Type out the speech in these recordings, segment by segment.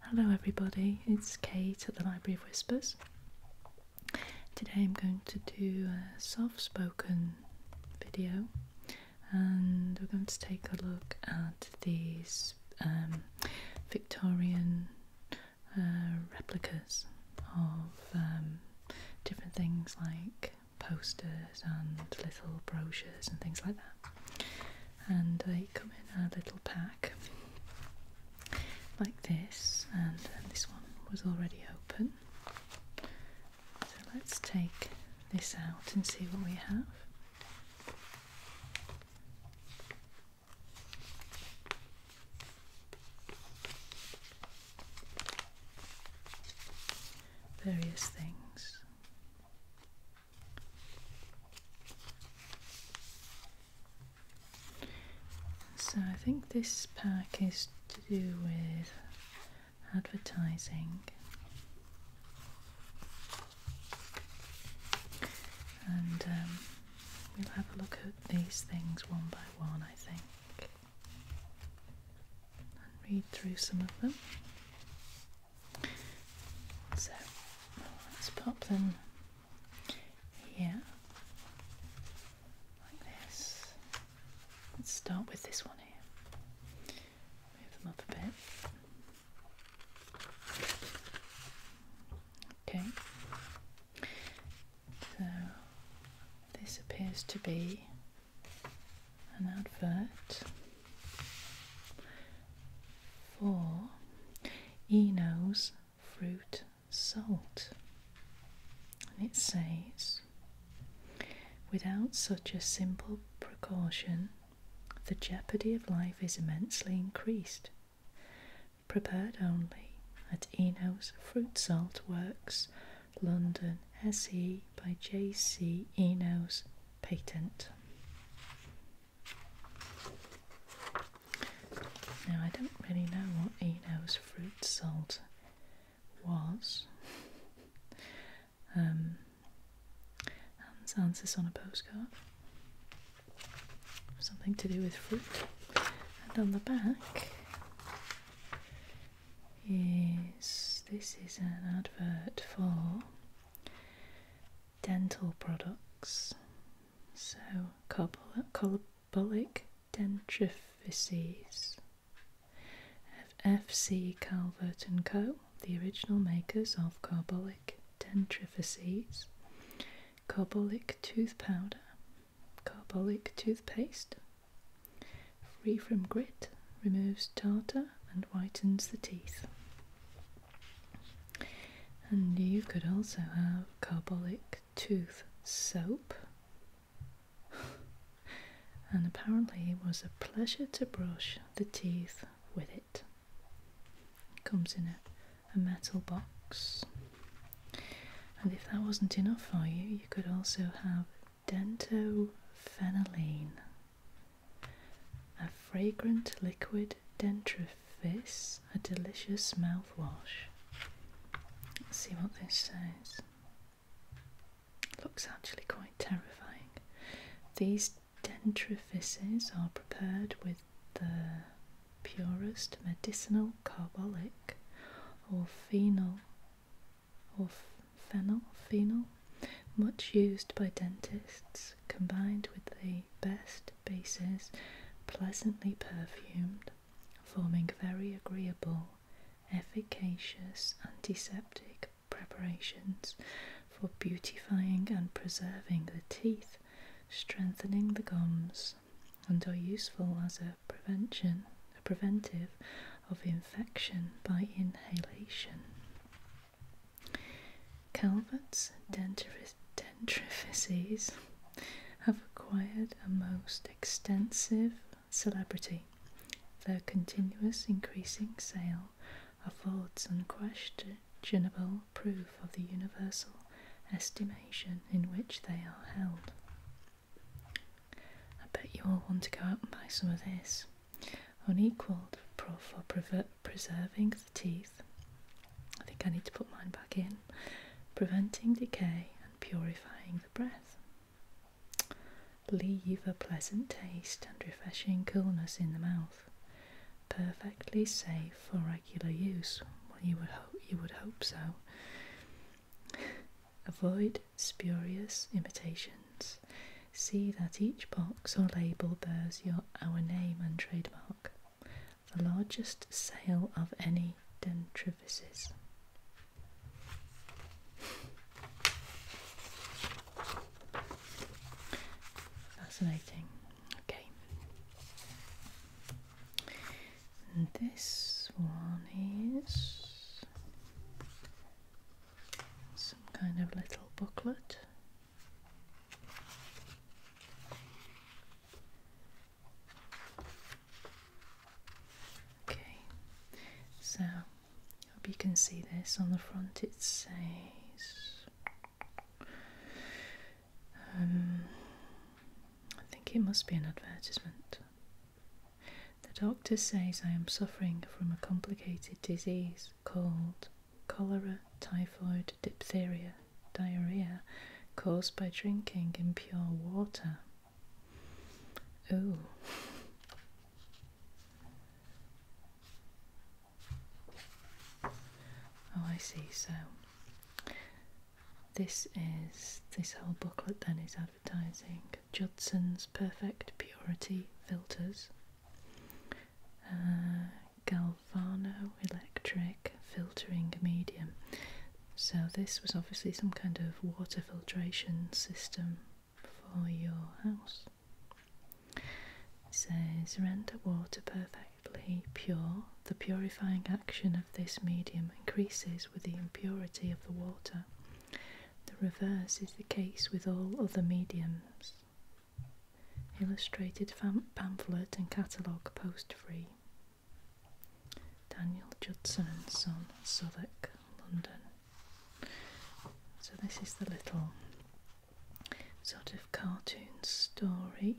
Hello, everybody, it's Kate at the Library of Whispers. Today I'm going to do a soft spoken video and we're going to take a look at these um, Victorian uh, replicas of um, different things like posters and little brochures and things like that and they come in a little pack like this and uh, this one was already open so let's take this out and see what we have various things so I think this pack is to do with advertising and um, we'll have a look at these things one by one I think and read through some of them. So let's pop them here like this. Let's start with this one here. Move them up a bit. Okay. So this appears to be an advert for Eno's fruit salt, and it says, without such a simple precaution, the jeopardy of life is immensely increased. Prepared only at Eno's Fruit Salt Works, London, SE by J.C. Enos Patent. Now, I don't really know what Eno's fruit salt was. Um, and this answers on a postcard. Something to do with fruit. And on the back is this is an advert for dental products. So, carbolic dentrifices. FC Calvert and Co., the original makers of carbolic dentrifices, carbolic tooth powder, carbolic toothpaste, free from grit, removes tartar and whitens the teeth. And you could also have carbolic tooth soap. and apparently, it was a pleasure to brush the teeth with it. It comes in a, metal box. And if that wasn't enough for you, you could also have dentophenylene. A fragrant liquid dentrifice, a delicious mouthwash. see what this says. Looks actually quite terrifying. These dentrifices are prepared with the purest medicinal carbolic or phenol or phenol, phenol, much used by dentists, combined with the best bases, pleasantly perfumed, forming very agreeable, efficacious antiseptic preparations for beautifying and preserving the teeth, strengthening the gums, and are useful as a prevention, a preventive of infection by inhalation. Calvert's dentifrices have acquired a most extensive celebrity. Their continuous increasing sale affords unquestionable proof of the universal estimation in which they are held. I bet you all want to go out and buy some of this unequaled for preserving the teeth. I think I need to put mine back in. Preventing decay and purifying the breath. Leave a pleasant taste and refreshing coolness in the mouth. Perfectly safe for regular use. you would hope you would hope so. Avoid spurious imitation see that each box or label bears your our name and trademark. The largest sale of any dentrivices. Fascinating. Okay. this one is some kind of little booklet. Okay, so hope you can see this on the front. It says, um, I think it must be an advertisement. The doctor says I am suffering from a complicated disease illnesses called cholera, typhoid, diphtheria, diarrhea caused by drinking impure water. Oh, Oh, I see. So, this is this whole booklet then is advertising Judson's Perfect Purity Filters, uh, galvanoelectric filtering medium. So, this was obviously some kind of water filtration system for your house. It says render water perfectly pure. The purifying action of this medium increases with the impurity of the water. The reverse is the case with all other mediums. Illustrated pamphlet and catalogue post free. Daniel Judson and Son, Southwark, London. So this is the little sort of cartoon story.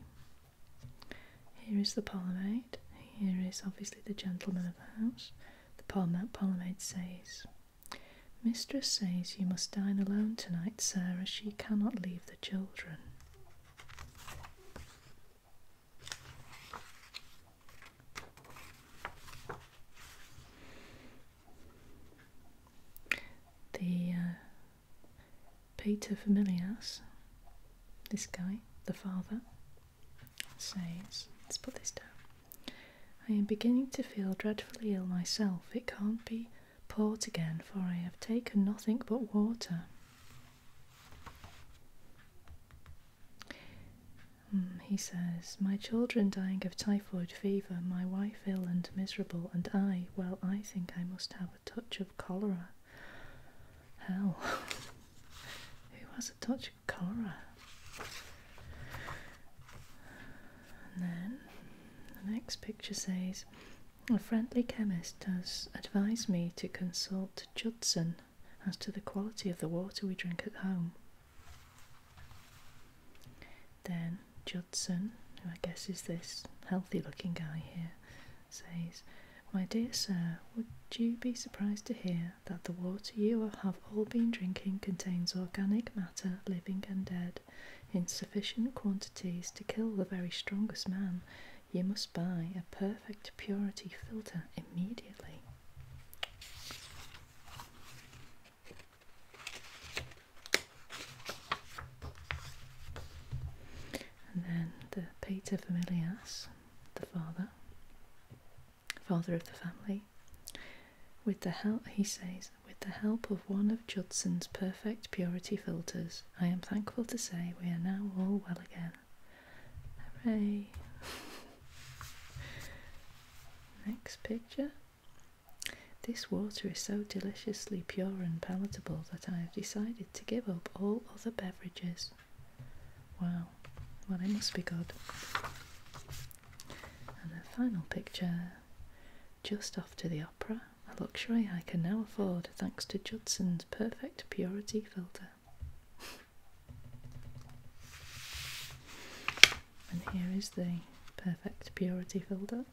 Here is the Polymade. Here is obviously the gentleman of the house. The Polymade, Polymade says, Mistress says you must dine alone tonight, Sarah. She cannot leave the children. The uh, Pater this guy, the father, says, let's put this down. I am beginning to feel dreadfully ill myself. It can't be port again, for I have taken nothing but water. Hmm, he says, My children dying of typhoid fever, my wife ill and miserable, and I, well, I think I must have a touch of cholera. Hell, who has a touch of cholera? And then the next picture says, A friendly chemist does advise me to consult Judson as to the quality of the water we drink at home. Then Judson, who I guess is this healthy looking guy here, says, My dear sir, would you be surprised to hear that the water you have all been drinking contains organic matter, living and dead? in sufficient quantities to kill the very strongest man, you must buy a perfect purity filter immediately. And then the pater familias, the father, father of the family, with the help, he says, with the help of one of Judson's perfect purity filters, I am thankful to say we are now all well again. Hooray! Next picture. This water is so deliciously pure and palatable that I have decided to give up all other beverages. Wow, well, I must be good. And the final picture just off to the opera, a luxury I can now afford thanks to Judson's perfect purity filter. and here is the perfect purity filter.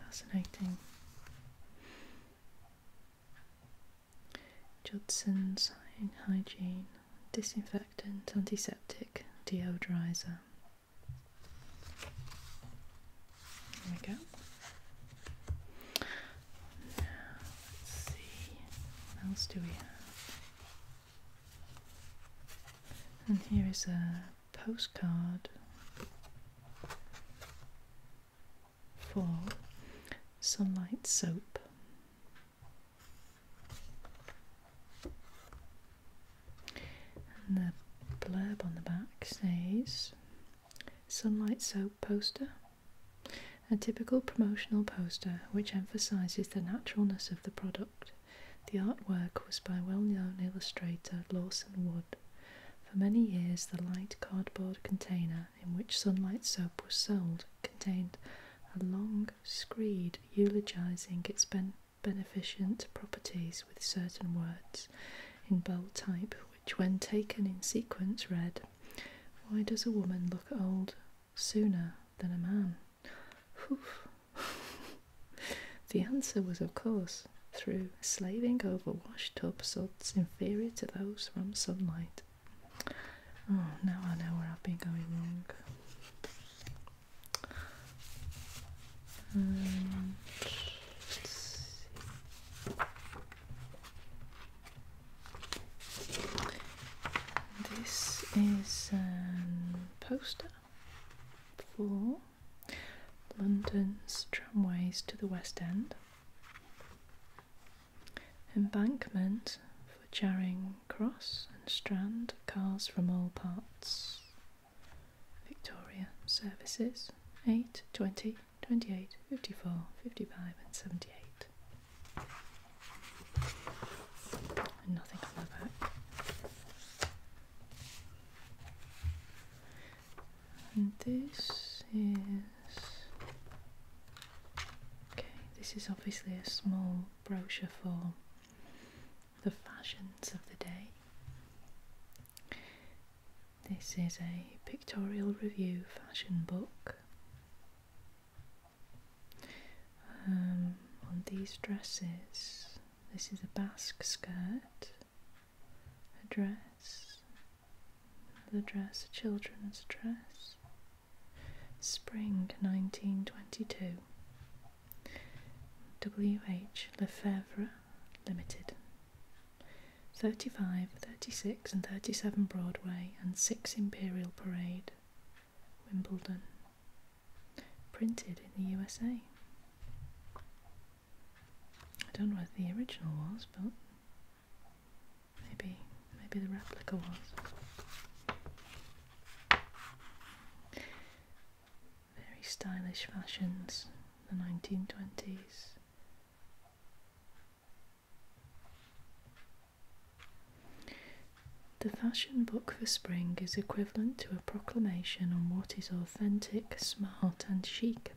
Fascinating. Judson's Hygiene Disinfectant, Antiseptic, Deodorizer. There we go. Now, let's see, else do we have? And here is a postcard for sunlight soap. And the blurb on the back says Sunlight Soap Poster. A typical promotional poster which emphasizes the naturalness of the product. The artwork was by well known illustrator Lawson Wood. For many years, the light cardboard container in which sunlight soap was sold contained a long screed eulogizing its beneficent properties with certain words in bold type, which, when taken in sequence, read, Why does a woman look old sooner than a man? the answer was, of course, through slaving over wash tub suds inferior to those from sunlight. Oh, now I know where I've been going wrong. Um, this is a um, poster for London's tramways to the West End. Embankment for Charing Cross and Strand, cars from all parts. Victoria services 8, 28, 54, 55, and 78. And nothing on back. And this is Okay, this is obviously a small brochure for the fashions of the day. This is a pictorial review fashion book. Um, on these dresses, this is a basque skirt, a dress, the dress, children's dress, spring 1922. W.H. Lefebvre Limited. 35, 36, and 37 Broadway and 6 Imperial Parade, Wimbledon. Printed in the USA. I don't know whether the original was, but Maybe, maybe the replica was. Very stylish fashions, the 1920s. The fashion book for spring is equivalent to a proclamation on what is authentic, smart, and chic.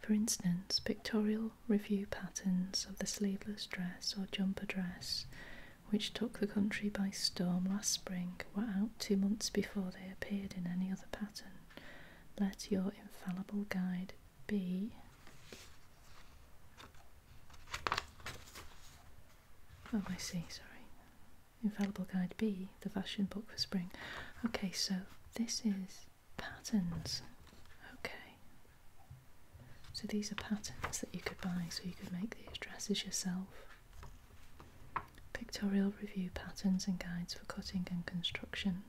For instance, pictorial review patterns of the sleeveless dress or jumper dress, which took the country by storm last spring, were out two months before they appeared in any other pattern. Let your infallible guide be. Oh, I see, sorry. Infallible Guide B, the fashion book for spring. Okay, so this is Patterns. Okay. So these are patterns that you could buy, so you could make these dresses yourself. Pictorial review patterns and guides for cutting and construction.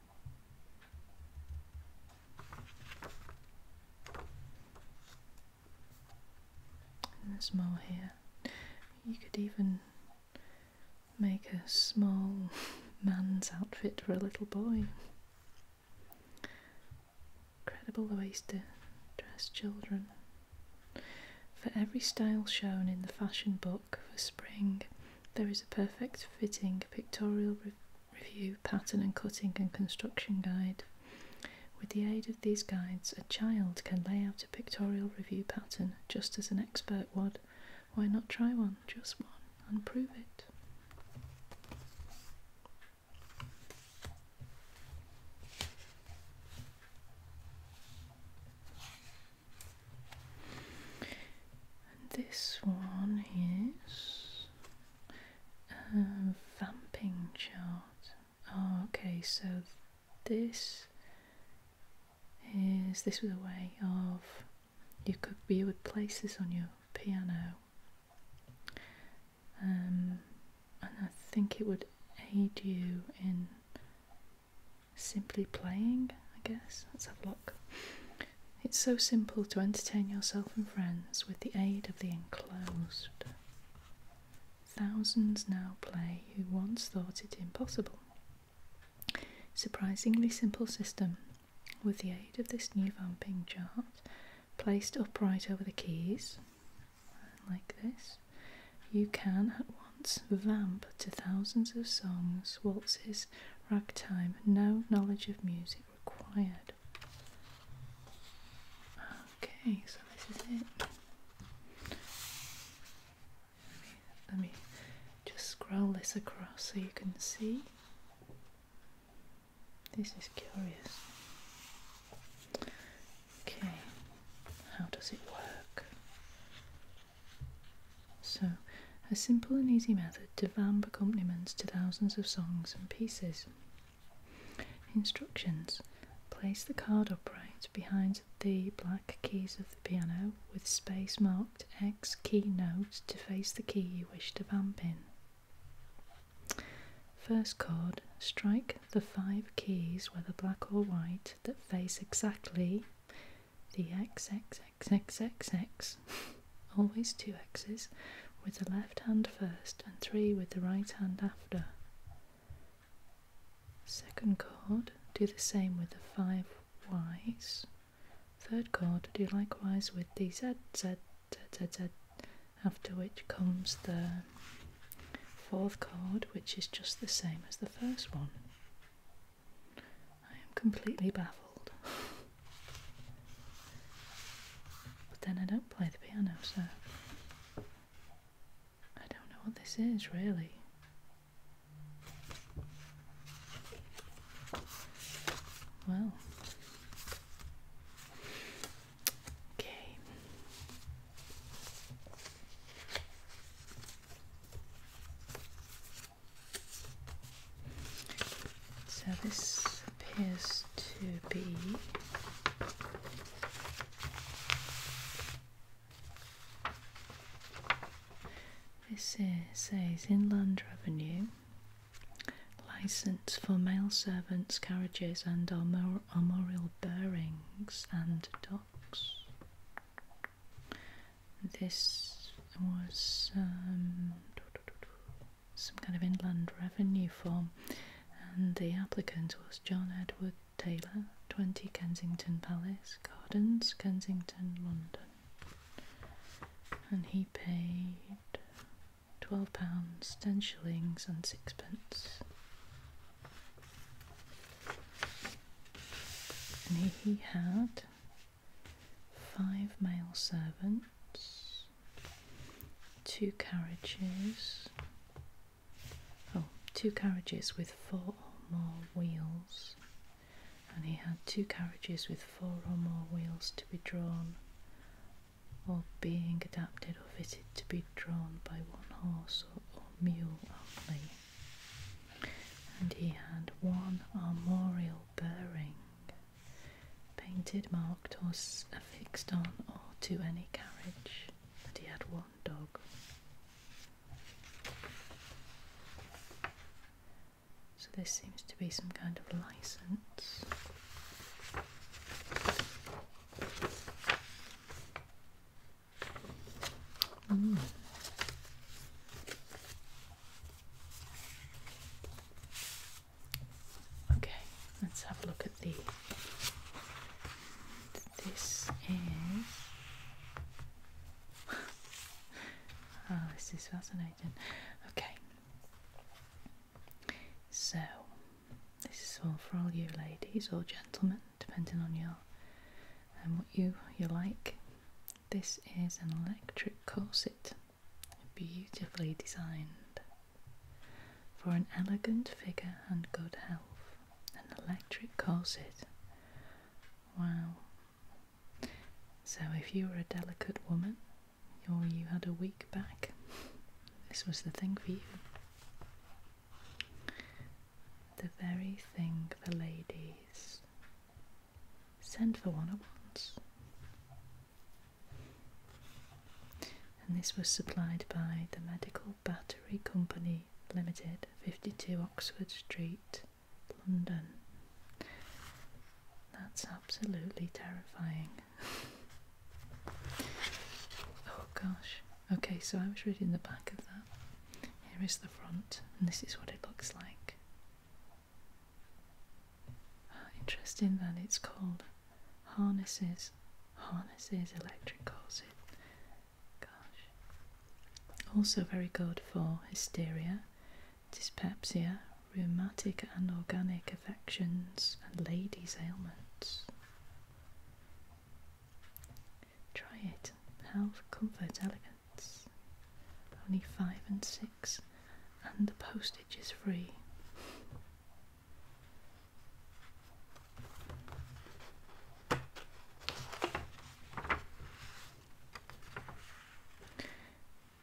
And there's more here. You could even make a small man's outfit for a little boy. Incredible ways to dress children. For every style shown in the fashion book for spring, there is a perfect fitting pictorial review, pattern and cutting and construction guide. With the aid of these guides, a child can lay out a pictorial review pattern just as an expert would. Why not try one, just one, and prove it? And this one is a vamping chart. Ah, okay, so this is this was a way of you could you would place on your piano. Um, and I think it would aid you in simply playing, I guess. Let's have a look. It's so simple to entertain yourself and friends with the aid of the enclosed. Thousands now play who once thought it impossible. Surprisingly simple system with the aid of this new vamping chart, placed upright over the keys, like this, you can at once vamp to thousands of songs, waltzes, ragtime, no knowledge of music required. Okay, so this is it. Let me, just scroll this across so you can see. This is curious. Okay, how does it work? So, a simple and easy method to vamp accompaniments to thousands of songs and pieces. Instructions Place the card upright behind the black keys of the piano with space marked marked X keynote to face the key you wish to vamp in. First chord, strike the five keys, whether black or white, that face exactly the X, X, X, X, X, always two X's, with the left hand first and three with the right hand after. Second chord, do the same with the five Y's Third chord, do likewise with the Z, Z, Z, Z, Z, after which comes the fourth chord, which is just the same as the first one. I am completely baffled. but then I don't play the piano, so I don't know what this is really. Wow. Okay. So this appears to be this is, says Inland Revenue license for male servants, carriages, and armor armorial bearings and docks. This was um, some kind of inland revenue form, and the applicant was John Edward Taylor, 20 Kensington Palace Gardens, Kensington, London and he paid twelve pounds, ten shillings, and sixpence. he, he had five male servants, two carriages, oh, two carriages with four or more wheels, and he had two carriages with four or more wheels to be drawn, or being adapted or fitted to be drawn by one horse or, mule only. And he had one armorial bearing, painted, marked, or affixed on or to any carriage, and he had one dog. So this seems to be some kind of license. Hmm. Okay, let's have a look at the. This is. oh, this is fascinating. Okay, so, this is all for all you ladies or gentlemen, depending on your and um, what you you like. This is an electric corset, beautifully designed for an elegant figure and good health. An electric corset. Wow. So, if you are a delicate woman or you had a week back, this was the thing for you. The very thing the ladies Send for one at once. And this was supplied by the Medical Battery Company Limited, 52 Oxford Street, London. That's absolutely terrifying. oh gosh. Okay, so I was reading the back of that. Here is the front, and this is what it looks like. Ah, interesting that it's called Harnesses. Harnesses Electric calls it. Gosh. Also, very good for hysteria dyspepsia, rheumatic and organic affections, and ladies' ailments. Try it. Health, comfort, elegance. Only five and six, and the postage is free.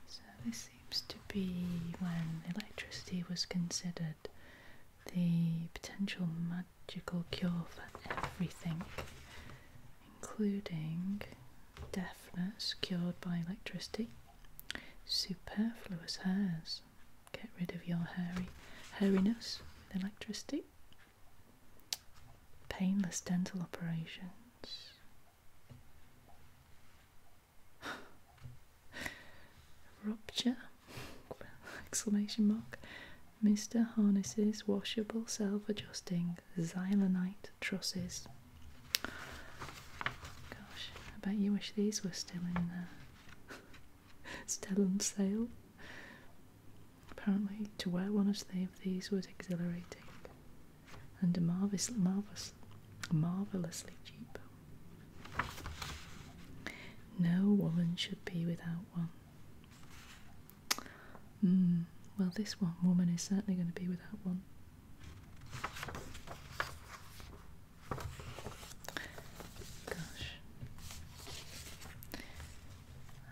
So this seems to be when electricity was considered the potential magical cure for everything, including deafness cured by electricity, superfluous hairs, get rid of your hairy hairiness with electricity, painless dental operations, Rupture? Exclamation mark. Mr. Harness's washable self-adjusting xylanite trusses. Gosh, I bet you wish these were still in there. still sale. Apparently, to wear one of these was exhilarating and marvelous, marvelous, marvelously cheap. No woman should be without one. Mm, well, this one woman is certainly going to be without one. Gosh.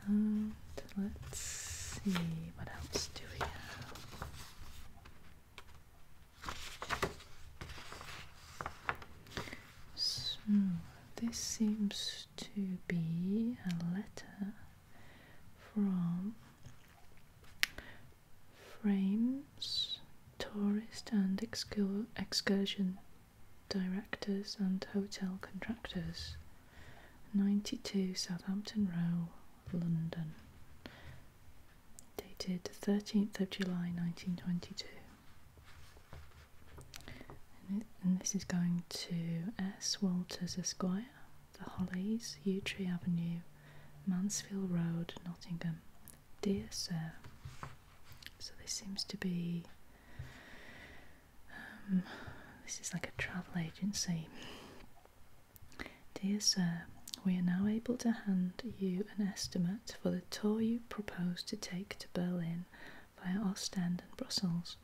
And let's see what else do we have. So this seems to be a letter from Frames Tourist and Excursion Directors and Hotel Contractors, 92 Southampton Row. London, dated 13th of July 1922. And, this is going to S. Walters Esquire, The Hollies, Yew Tree Avenue, Mansfield Road, Nottingham. Dear Sir, so this seems to be. Um, this is like a travel agency. Dear Sir, we are now able to hand you an estimate for the tour you propose to take to Berlin via Ostend and Brussels.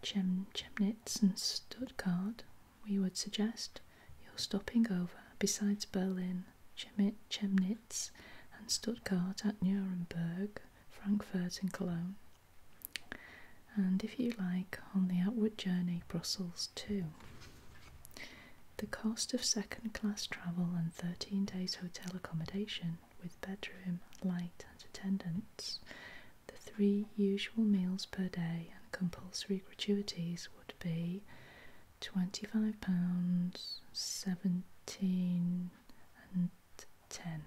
Chemnitz and Stuttgart, we would suggest your stopping over besides Berlin, Chemnitz and Stuttgart at Nuremberg, Frankfurt and Cologne and if you like, on the outward journey Brussels too. The cost of second class travel and 13 days hotel accommodation with bedroom, light, and attendance, the three usual meals per day and compulsory gratuities would be £25, 17 and 10.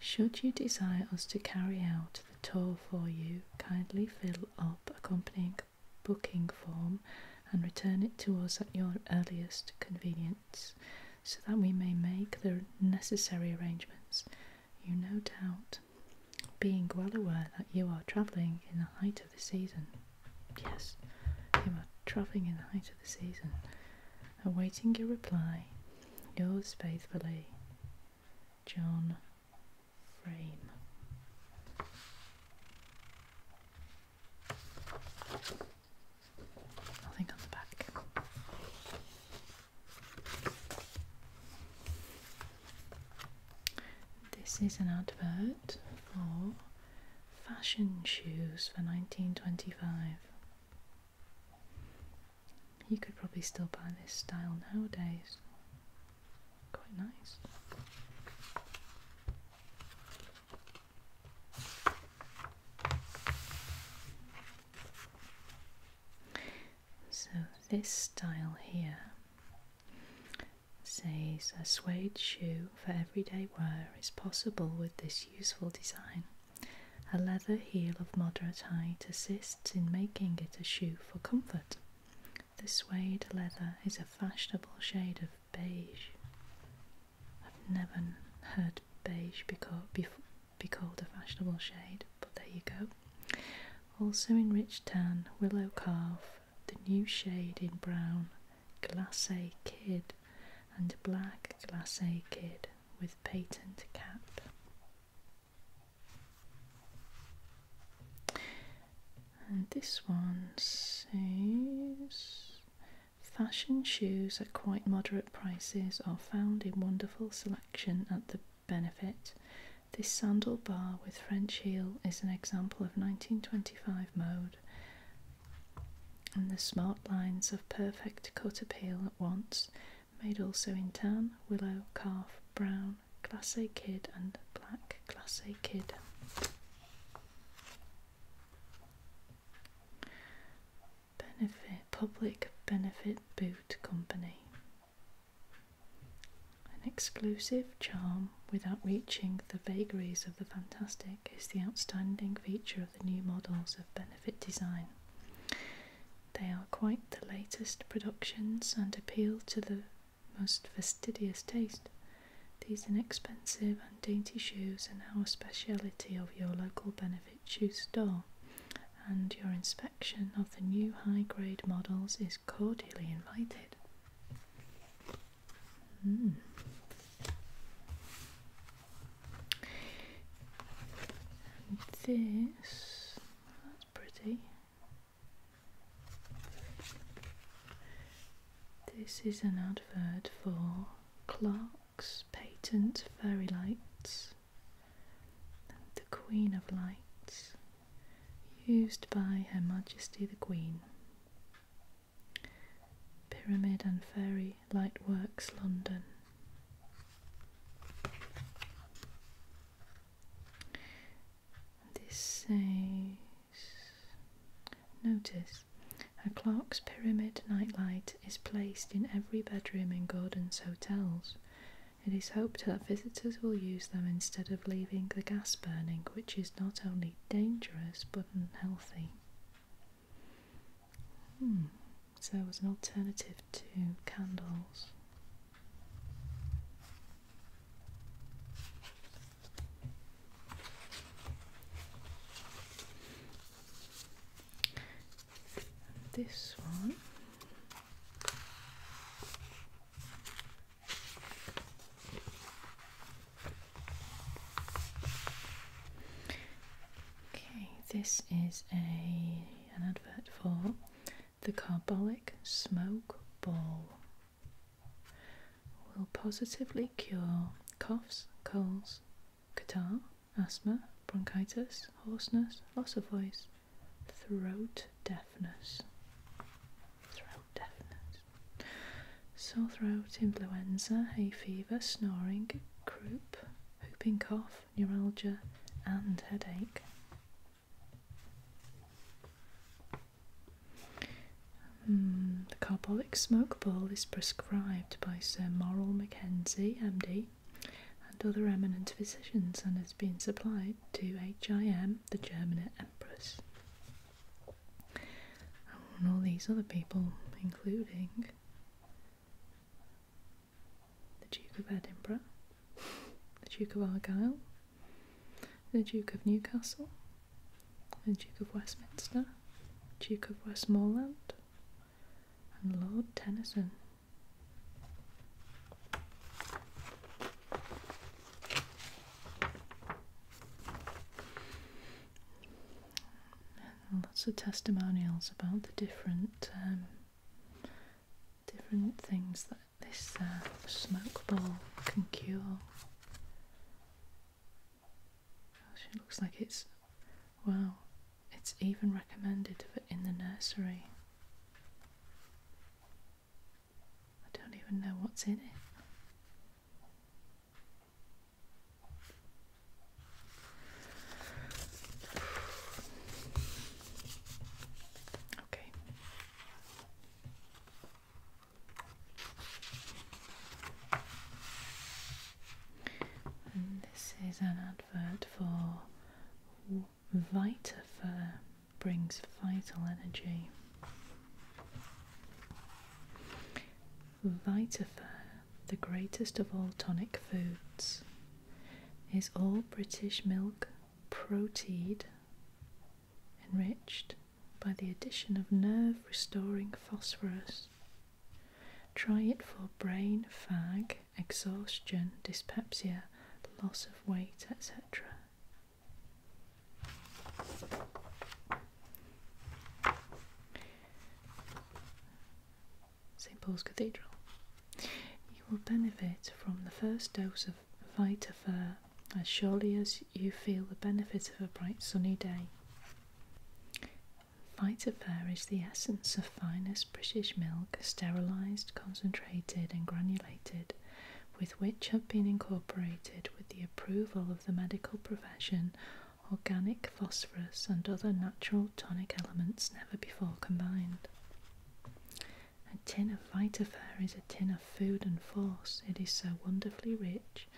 Should you desire us to carry out the tour for you, kindly fill up accompanying booking form and return it to us at your earliest convenience so that we may make the necessary arrangements. You no doubt being well aware that you are travelling in the height of the season. Yes, you are travelling in the height of the season. Awaiting your reply Yours faithfully, John Frame. Nothing on the back. This is an advert for fashion shoes for 1925. You could probably still buy this style nowadays. Quite nice. So, this style here says a suede shoe for everyday wear is possible with this useful design. A leather heel of moderate height assists in making it a shoe for comfort. The suede leather is a fashionable shade of beige. I've never heard beige be called, a fashionable shade, but there you go. Also in rich tan, willow calf, the new shade in brown, glacé kid, and black glacé kid with patent cap. And this one says fashion shoes at quite moderate prices are found in wonderful selection at the benefit. This sandal bar with French heel is an example of 1925 mode and the smart lines of perfect cut appeal at once made also in tan, willow, calf, brown, class kid and black class kid. Benefit Public Benefit Boot Company. An exclusive charm without reaching the vagaries of the fantastic is the outstanding feature of the new models of benefit design. They are quite the latest productions and appeal to the most fastidious taste. These inexpensive and dainty shoes are now a specialty of your local benefit shoe store, and your inspection of the new high grade models is cordially invited. Hmm this, that's pretty. This is an advert for Clark's patent fairy lights, the Queen of Lights, used by Her Majesty the Queen. Pyramid and fairy City Lightworks, London. This says, notice, a clock's Pyramid nightlight is placed in every bedroom in Gordon's hotels. It is hoped that visitors will use them instead of leaving the gas burning, which is not only dangerous but unhealthy. Hmm. So it was an alternative to candles. this one. Okay, this is a an advert for the carbolic smoke ball. Will positively cure coughs, colds, catarrh, asthma, bronchitis, hoarseness, loss of voice, throat deafness. Throat deafness. Sore throat, influenza, hay fever, snoring, croup, whooping cough, neuralgia, and headache. Hmm, the carbolic smoke ball is prescribed by Sir Morrell Mackenzie, MD, and other eminent physicians and has been supplied to HIM, the German Empress, and all these other people, including the Duke of Edinburgh, the Duke of Argyll, the Duke of Newcastle, the Duke of Westminster, Duke of Westmorland, and Lord Tennyson lots of testimonials about the different um, different things that this uh, smoke ball can cure. it looks like it's wow. It's even recommended for in the nursery. I don't even know what's in it. Okay. this is an advert for Vitafur brings vital energy. Vitafur the greatest of all tonic foods, is all British milk proteid, enriched by the addition of nerve restoring phosphorus. Try it for brain fag, exhaustion, dyspepsia, loss of weight, etc. St. Paul's Cathedral. You will benefit from the first dose of Vitafur as surely as you feel the benefit of a bright sunny day. Vitafur is the essence of finest British milk, sterilised, concentrated, and granulated, with which have been incorporated, with the approval of the medical profession, organic phosphorus and other natural tonic elements never before combined. A tin of Vitafair is a tin of food and force. It is so wonderfully rich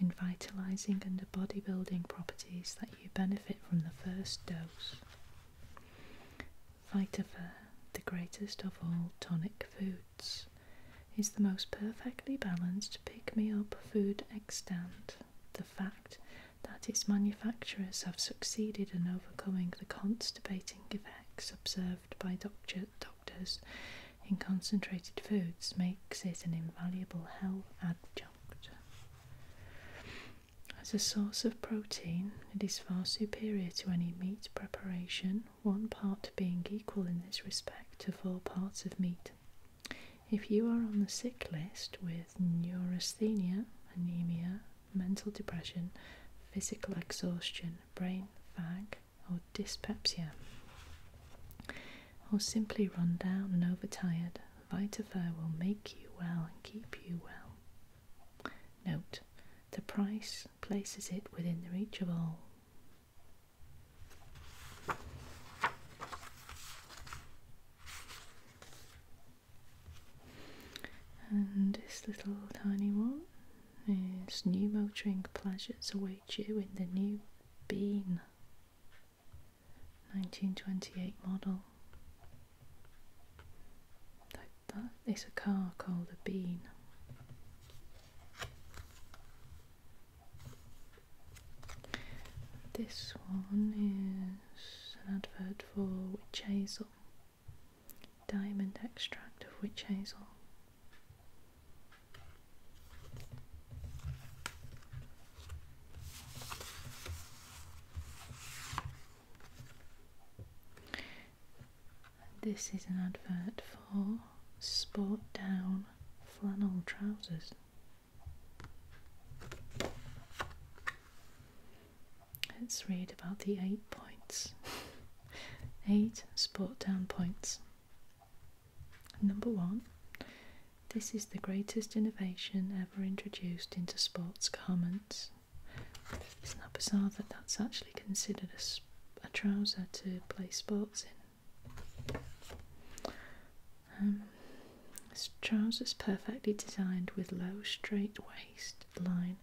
in vitalizing and bodybuilding properties that you benefit from the first dose. Vitafair, the greatest of all tonic foods, is the most perfectly balanced pick-me-up food extant. The fact that its manufacturers have succeeded in overcoming the constipating effects observed by doctors in concentrated foods makes it an invaluable health adjunct. As a source of protein, it is far superior to any meat preparation, one part being equal in this respect to four parts of meat. If you are on the sick list with neurasthenia, anemia, mental depression, physical exhaustion, brain fog, or dyspepsia, or simply run down and overtired, Vitafer will make you well and keep you well. Note, the price places it within the reach of all. And this little tiny one is new motoring pleasures await you in the new Bean 1928 model. That, that is a car called a Bean. This one is an advert for witch hazel, diamond extract of witch hazel. This is an advert for sport down flannel trousers. Let's read about the eight points. eight sport down points. Number one, this is the greatest innovation ever introduced into sports garments. Isn't it bizarre that that's actually considered a, a trouser to play sports in? Um, his trousers perfectly designed with low straight waist line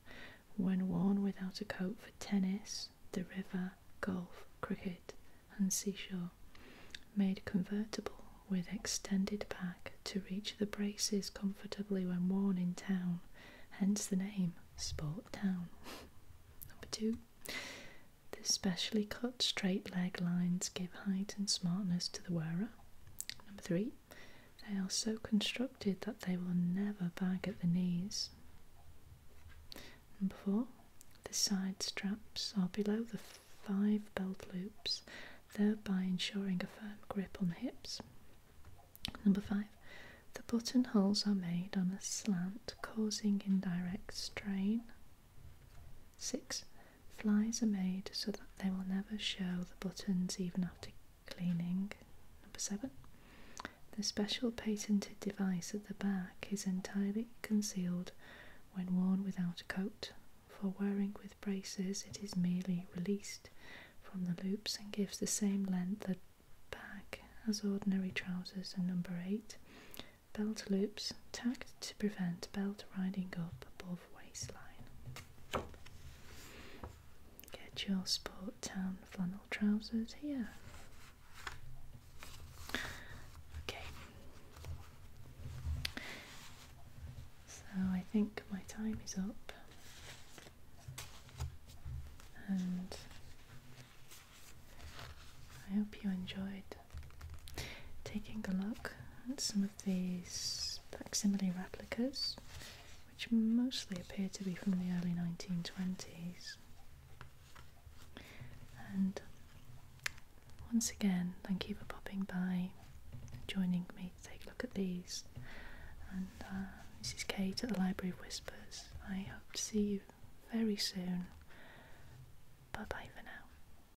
when worn without a coat for tennis, the river, golf, cricket and seashore. Made convertible with extended back to reach the braces comfortably when worn in town, hence the name Sport Town. Number two. The specially cut straight leg lines give height and smartness to the wearer. Number three, they are so constructed that they will never bag at the knees. Number four, the side straps are below the five belt loops, thereby ensuring a firm grip on the hips. Number five, the buttonholes are made on a slant, causing indirect strain. Six, Flies are made so that they will never show the buttons even after cleaning. Number seven. The special patented device at the back is entirely concealed when worn without a coat. For wearing with braces, it is merely released from the loops and gives the same length at back as ordinary trousers. And number eight, belt loops tacked to prevent belt riding up above waist. Get your sport town flannel trousers here. Okay. So I think my time is up. And I hope you enjoyed taking a look at some of these facsimile replicas, which mostly appear to be from the early 1920s. And once again, thank you for popping by, joining me to take a look at these. And uh, this is Kate at the Library of Whispers. I hope to see you very soon. Bye bye for now.